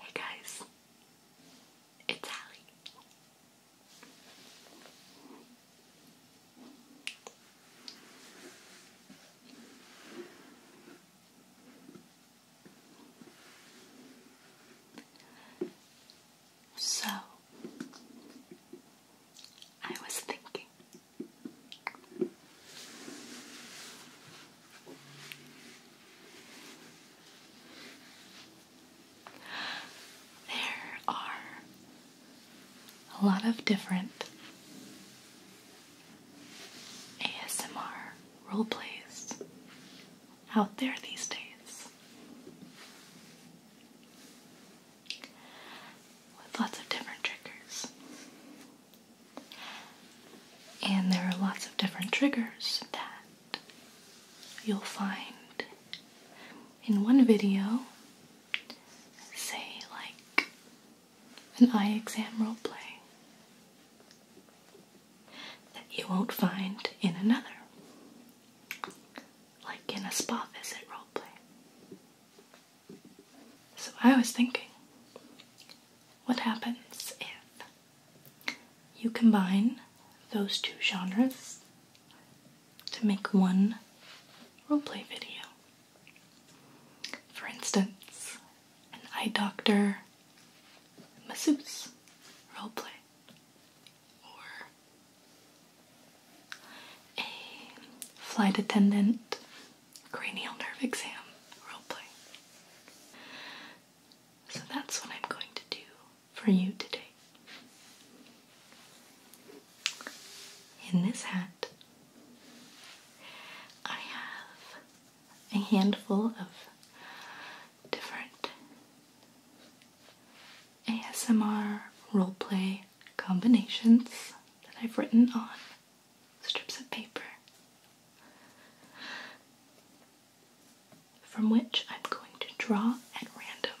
Hey guys, it's Allie. So, I was thinking there are a lot of different ASMR role plays out there these days with lots of different triggers. And there are lots of different triggers that you'll find in one video, say, like an eye exam role play that you won't find in another, like in a spa visit role play. So I was thinking, what happens if you combine those two genres to make one role play video? For instance, an eye doctor, masseuse roleplay, or a flight attendant cranial nerve exam roleplay. So that's what I'm going to do for you today. In this hat, I have a handful of different ASMR roleplay combinations that I've written on strips of paper, from which I'm going to draw at random.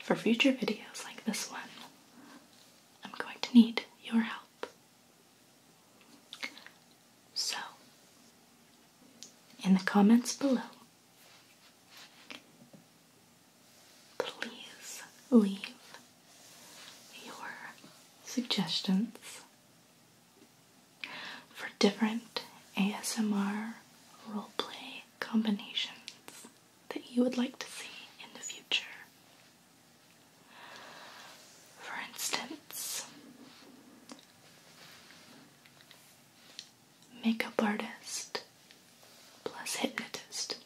For future videos like this one, I'm going to need your help. So, in the comments below, please leave your suggestions for different ASMR roleplay combinations that you would like to see in the future. For instance, makeup artist plus hypnotist.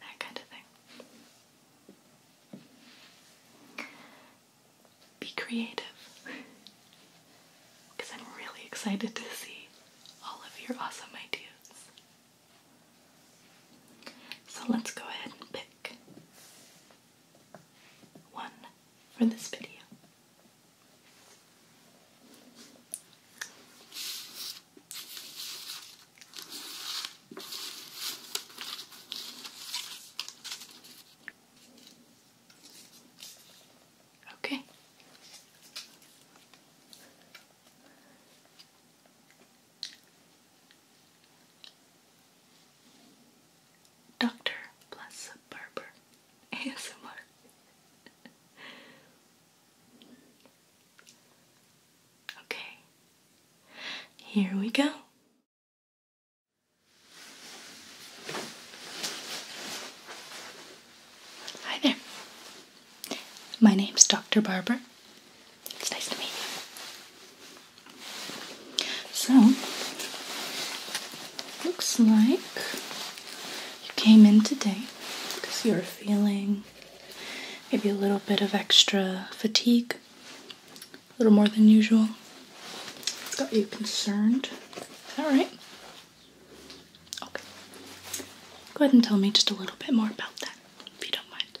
That kind of thing. Be creative because I'm really excited to see all of your awesome ideas. So let's go ahead and pick one for this video. Okay. Dr. Bless Barber ASMR. okay. Here we go. Hi there. My name's Dr. Barber. It's nice to meet you. So, looks like you came in today because you are feeling maybe a little bit of extra fatigue, a little more than usual. It's got you concerned. All right. Okay. Go ahead and tell me just a little bit more about that, if you don't mind.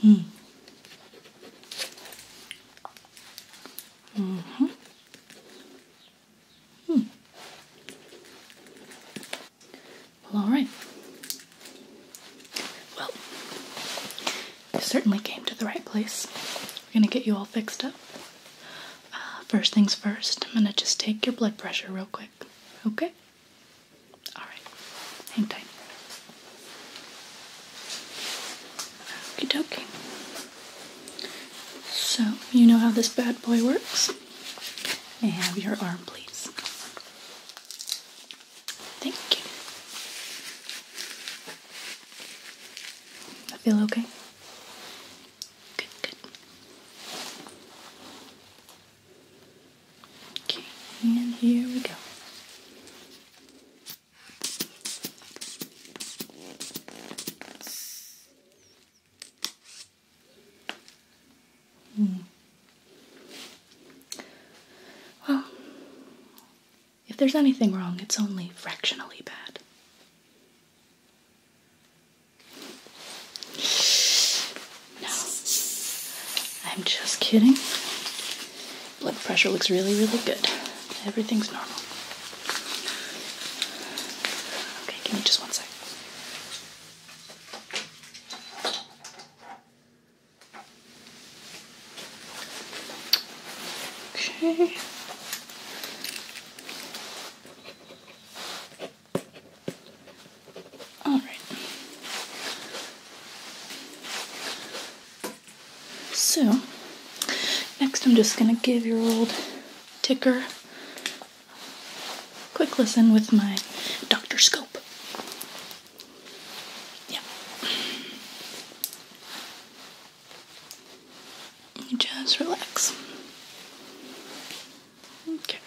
-hmm. hmm. Hmm. all right. Well, you certainly came to the right place. We're gonna get you all fixed up. Uh, first things first, I'm gonna just take your blood pressure real quick. Okay? Alright. Hang tight. Okay. So, you know how this bad boy works? I have your arm, please? Thank you. I feel okay. Good, good. Okay, and here we go. Mm. Well, if there's anything wrong, it's only fractionally bad. No, I'm just kidding. Blood pressure looks really, really good. Everything's normal. Okay, give me just one sec. Okay. All right. So, next I'm just going to give your old ticker a quick listen with my doctor scope. Yeah. just relax. Okay.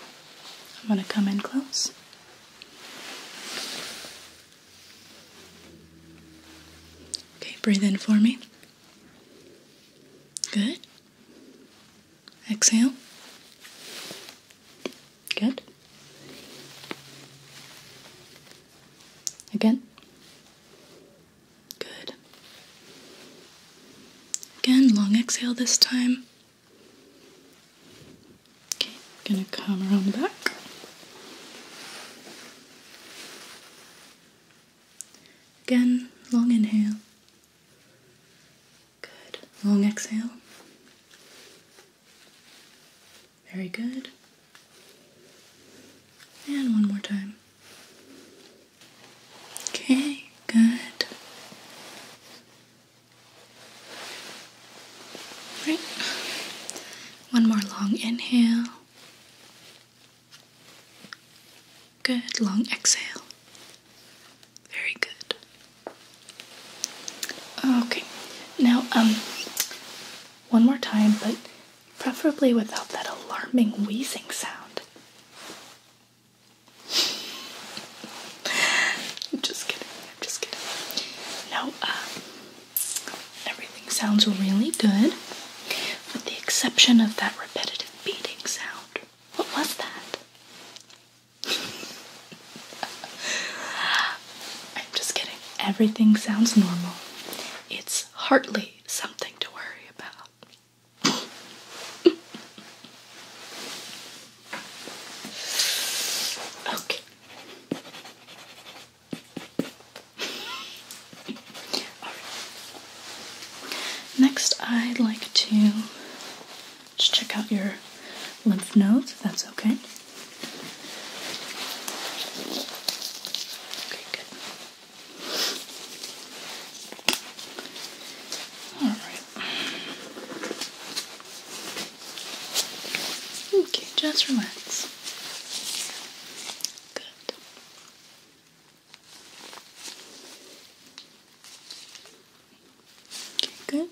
I'm going to come in close. Okay, breathe in for me. Good. Exhale. Good. Again. Good. Again, long exhale this time. Okay, gonna come around the back. Again, long inhale. Good. Long exhale. Very good. And one more time. Okay, good. Right. One more long inhale. Good. Long exhale. Very good. Okay. Now, um, one more time, but preferably without that alarming wheezing sound. I'm just kidding. I'm just kidding. No, um, everything sounds really good, with the exception of that repetitive beating sound. What was that? I'm just kidding. Everything sounds normal. It's hardly something to worry about. okay. Next, I'd like to just check out your lymph nodes, if that's okay. Okay, good. All right. Okay, just relax. Good. good.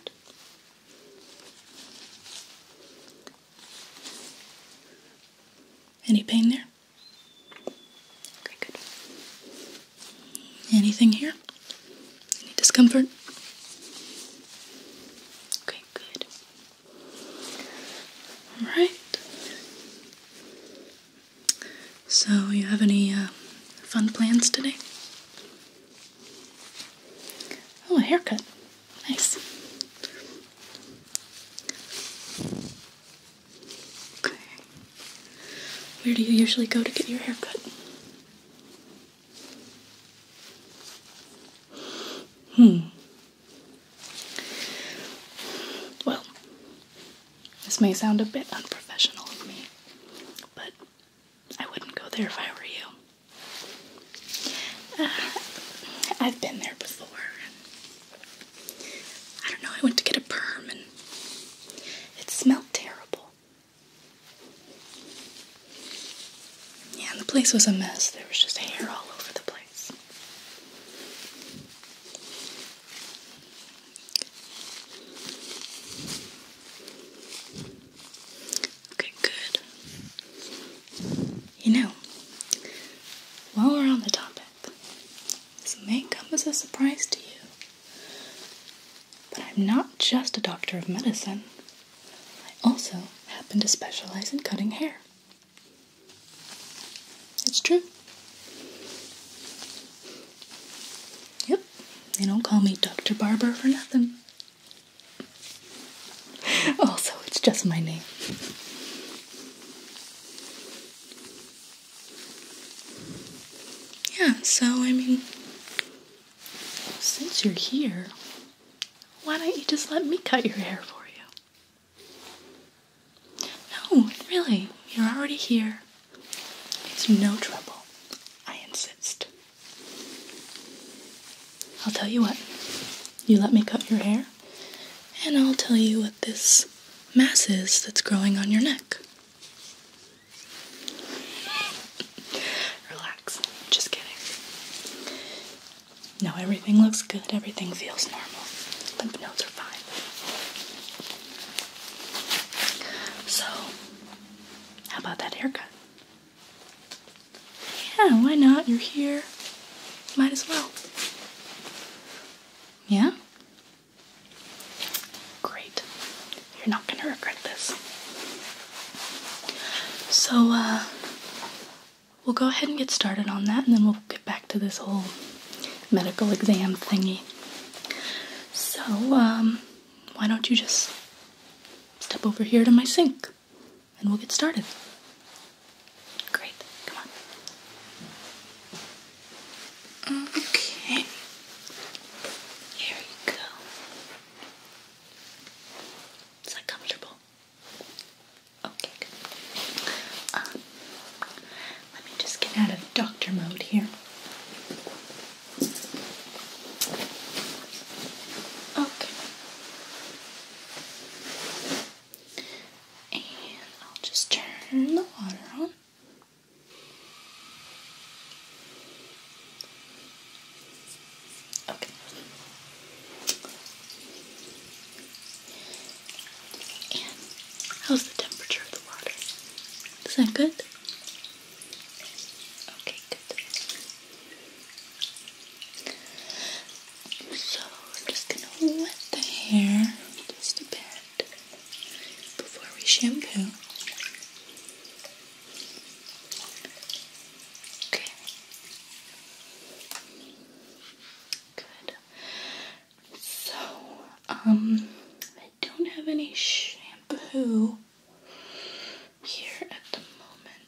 Any pain there? Okay, good. Anything here? Any discomfort? Okay, good. All right. So, you have any uh, fun plans today? Oh, a haircut. Nice. Okay. Where do you usually go to get your hair cut? Hmm. Well, this may sound a bit unprofessional of me, but I wouldn't go there if I were you. Uh, I've been there before. I don't know, I went to get a perm and it smelled terrible. Yeah, and the place was a mess. There was just hair all over the place. Okay, good. You know, while we're on the topic, this may come as a surprise to you, but I'm not just a doctor of medicine. I also happen to specialize in cutting hair. It's true. Yep, they don't call me Dr. Barber for nothing. also, it's just my name. Yeah, so I mean, since you're here, why don't you just let me cut your hair for you? No, really, you're already here. It's no trouble. I insist. I'll tell you what, you let me cut your hair, and I'll tell you what this mass is that's growing on your neck. Relax, just kidding. No, everything looks good, everything feels normal. Lymph nodes are fine. So, how about that haircut? Yeah, why not? You're here. Might as well. Yeah? Great. You're not gonna regret this. So, uh, we'll go ahead and get started on that and then we'll get back to this whole medical exam thingy. So, um, why don't you just step over here to my sink? and we'll get started. Great, come on. Okay. Here you go. Is that comfortable? Okay, good. Uh, let me just get out of doctor mode here. Okay. And I'll just turn the water on. Okay. And how's the temperature of the water? Is that good? Okay, good. So I'm just gonna wet the hair just a bit before we shampoo. Okay. Good. So, um, I don't have any shampoo here at the moment.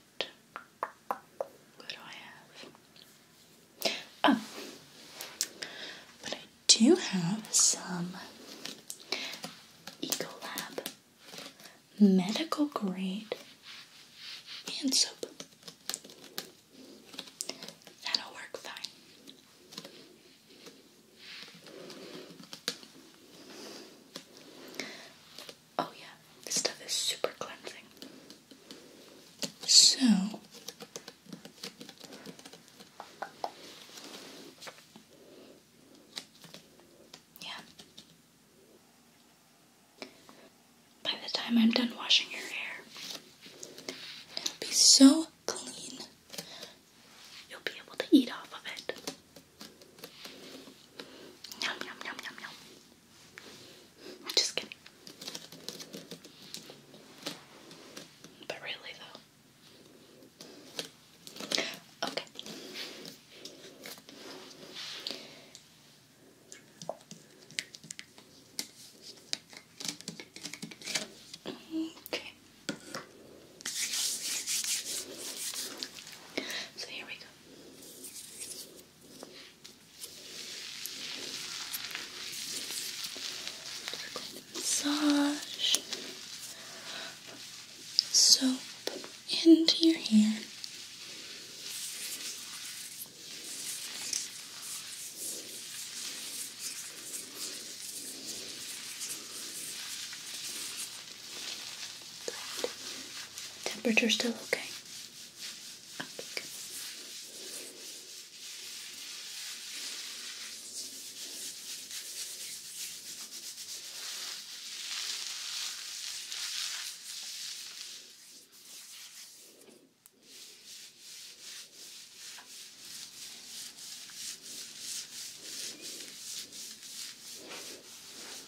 What do I have? Oh, but I do have some Ecolab medical grade hand soap. That'll work fine. Oh yeah, this stuff is super cleansing. So yeah. By the time I'm done washing your hair, it'll be so clean. You'll be able to eat off of it. Yum, yum, yum, yum, yum. I'm just kidding. But really, though. Okay. Okay. So here we Massage soap into your hair. Temperature still okay? Okay, Okay.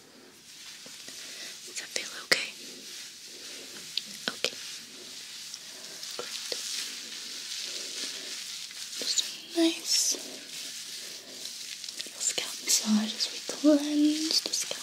Does that feel okay? Okay. Great. Just a nice little scalp massage as we cleanse the scalp.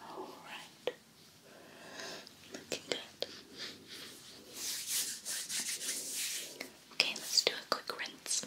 All right. Looking good. Okay, let's do a quick rinse.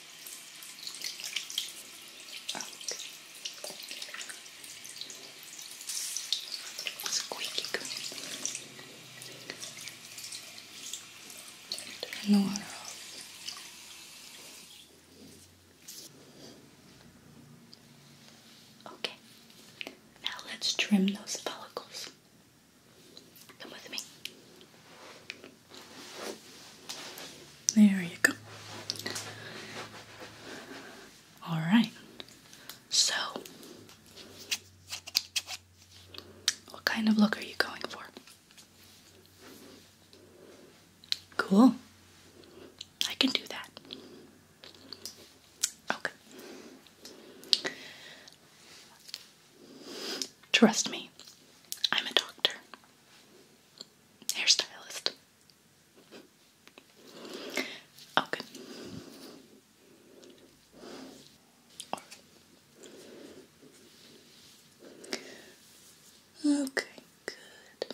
Oh. Squeaky Turn the water Okay, now let's trim those follicles. Come with me. There you go. All right. So, what kind of look are you going for? Cool. I can do that. Okay. Trust me, I'm a doctor hairstylist. Okay. Oh, okay, good.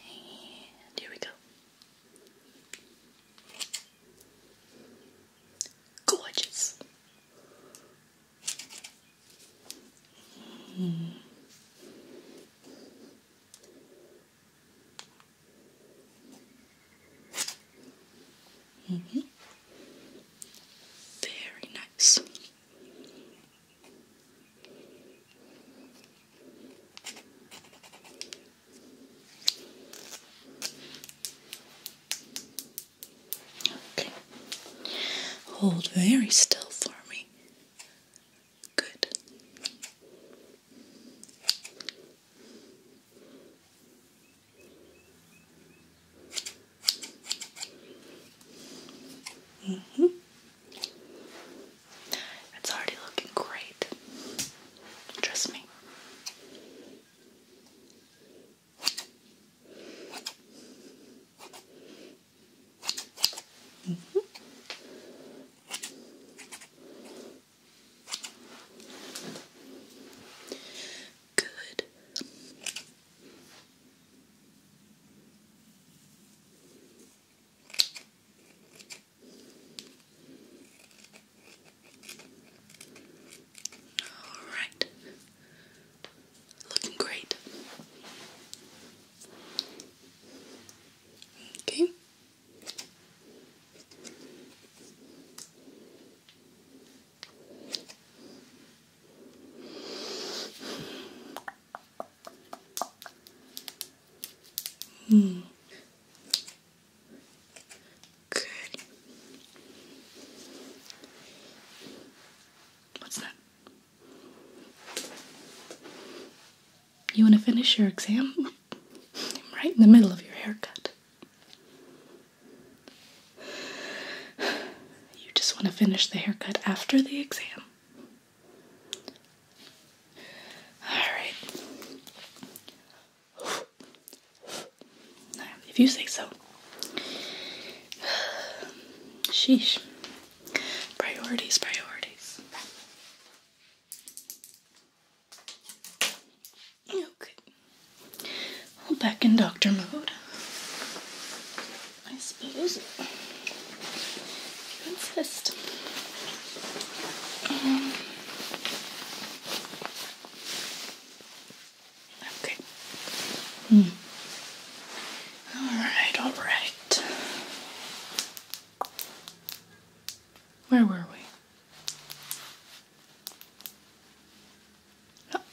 And here we go. Gorgeous. Mm. Mm -hmm. Very nice. Okay. Hold very still for me. Good. -hmm. It's already looking great. Trust me. Mm -hmm. Good. Alright. Looking great. Okay. Hmm. Good. What's that? You want to finish your exam? I'm right in the middle of your haircut. You just want to finish the haircut after the exam? Alright. If you say so. Sheesh. Priorities, priorities. Okay. back in doctor mode. I suppose. You insist. Um, Okay. Hmm. All right, all right. Where were we?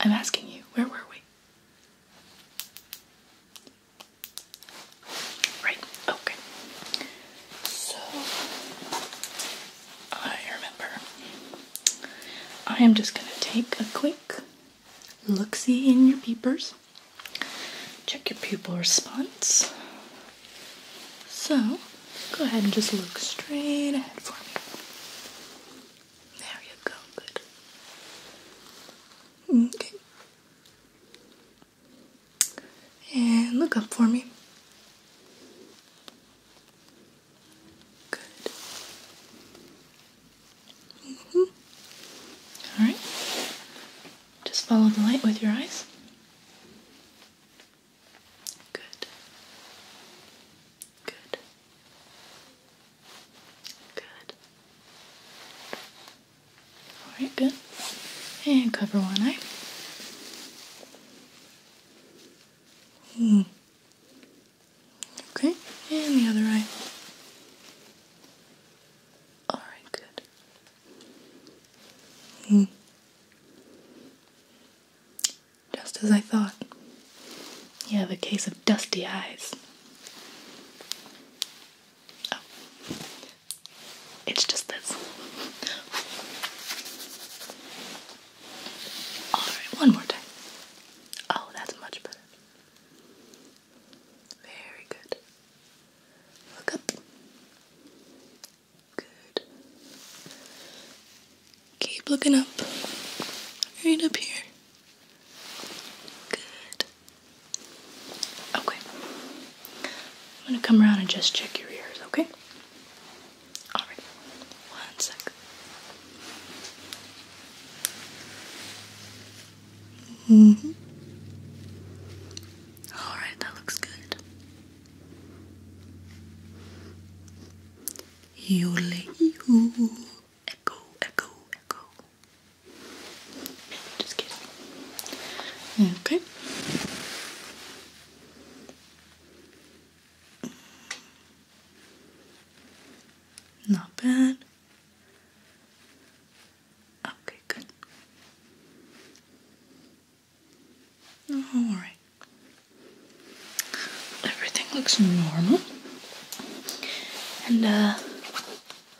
I'm asking you, where were we? Right, okay. So, I remember. I am just going to take a quick look see in your peepers, check your pupil response. So, go ahead and just look straight ahead for me. There you go, good. Okay. And look up for me. Good. -hmm. All right. Just follow the light with your eyes. Good. Good. Good. All right, good. And cover one eye. Mm. Okay, and the other eye. All right, good. Hmm. Just as I thought. You have a case of dusty eyes. Oh. It's just this. Alright, one more time. Oh, that's much better. Very good. Look up. Good. Keep looking up. Right up here. Good. Okay. I'm going to come around and just check your ears, okay? Alright, one -hmm. Alright, that looks good. You you echo, echo, echo. Just kidding. Okay. Not bad. Okay, good. all right. Everything looks normal. And uh,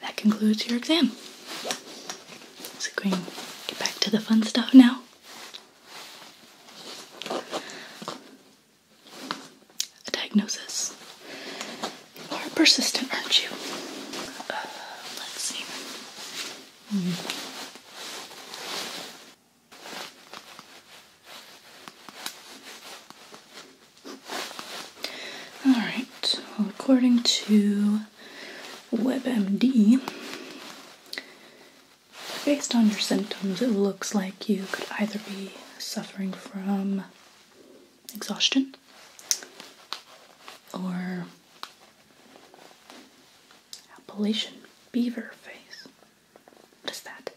that concludes your exam. So, going get back to the fun stuff now. A diagnosis. You are persistent, aren't you? Uh, let hmm. All right. according to WebMD, Based on your symptoms, it looks like you could either be suffering from exhaustion or Appalachian beaver face. What is that?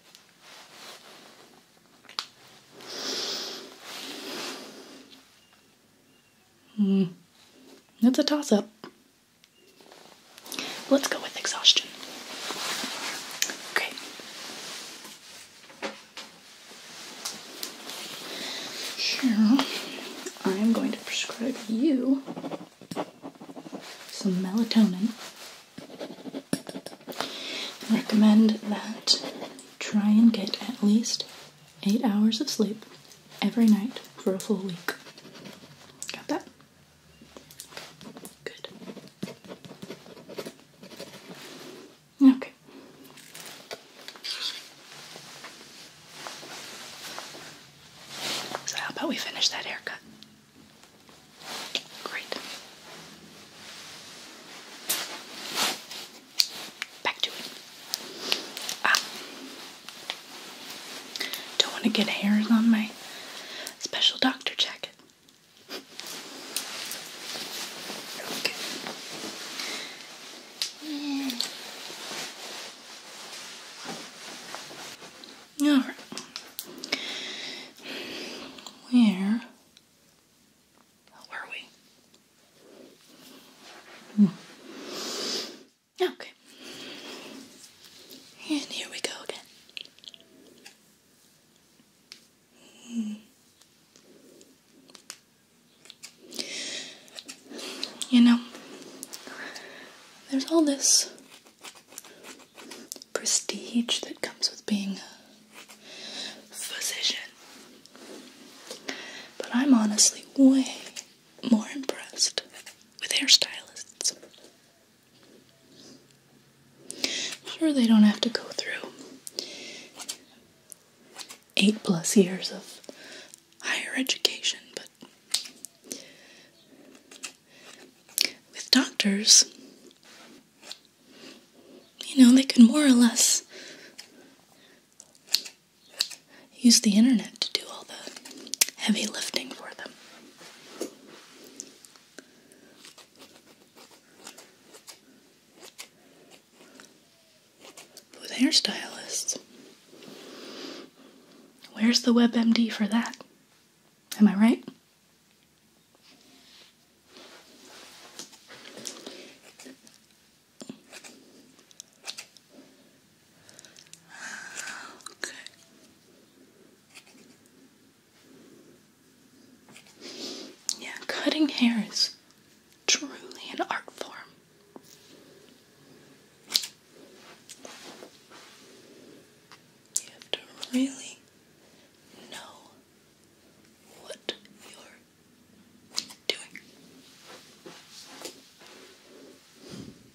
Hmm. It's a toss up. Let's go with exhaustion. Okay. Here, I am going to prescribe you some melatonin. I recommend that try and get at least eight hours of sleep every night for a full week. Got that? Good. Okay. So, how about we finish that haircut? Great. Back to it. Um, don't want to get hairs on my special doctor jacket. Okay. Mm. All right. Where were we? Hmm. Okay. And here we go again. Hmm. You know, there's all this prestige that comes with being a physician, but I'm honestly way more impressed with hairstylists sure they don't have to go through eight plus years of higher education, but with doctors, you know, they can more or less use the internet to do all the heavy lifting for them. With hairstylists. Where's the WebMD for that? Am I right? Yeah, cutting hair is truly an art form. You have to really know what you're doing.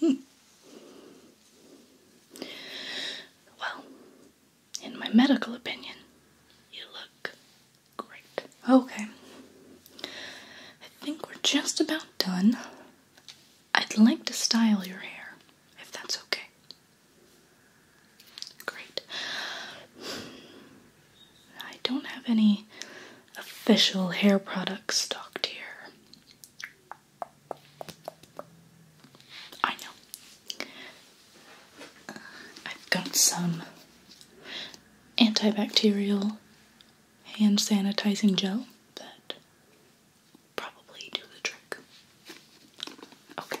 Hmm. Well, in my medical opinion, you look great. Okay. I think we're just about done. I'd like to style your hair, if that's okay. Great. I don't have any official hair products stocked here. I know. Uh, I've got some antibacterial hand sanitizing gel that probably do the trick. Okay.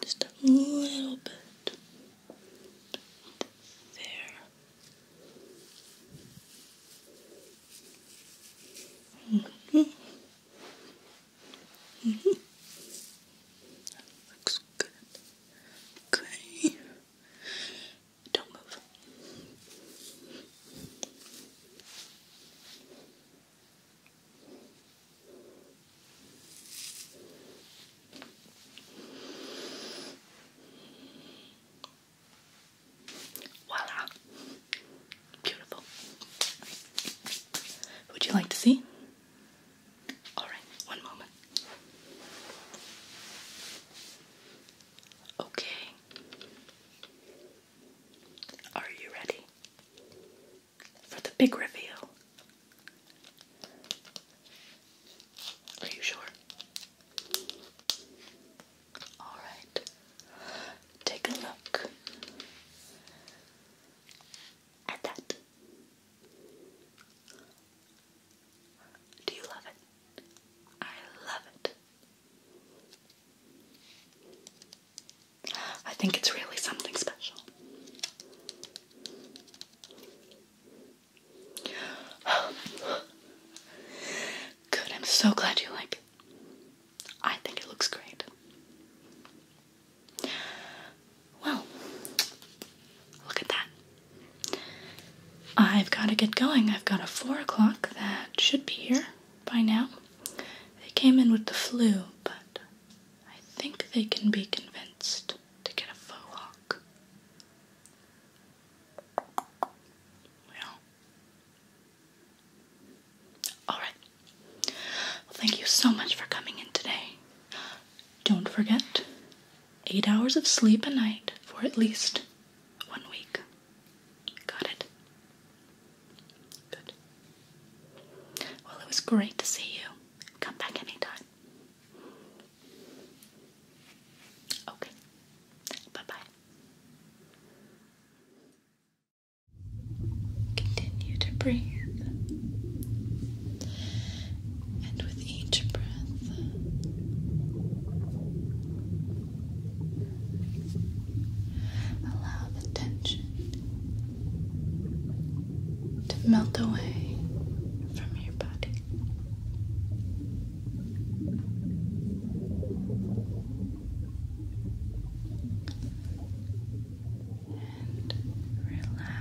Just a little bit there. mm Looks good. Okay. Don't move. Voila! Beautiful. Would you like to see? All right, one moment. Okay. Are you ready for the big reveal? Are you sure? Alright, take a look at that. Do you love it? I love it. I think it's really something special. Good, I'm so glad you like it. I think it looks great. Well, look at that. I've got to get going. I've got a four o'clock that should be here by now. They came in with the flu, but I think they can be convinced to get a faux hawk. Well. Alright. thank you so much for coming in today. Don't forget, eight hours of sleep a night for at least one week. Got it? Good. Well, it was great to see you. Come back anytime. Okay. Bye bye. Continue to breathe. And with each breath, Allow the tension to melt away from your body. And relax.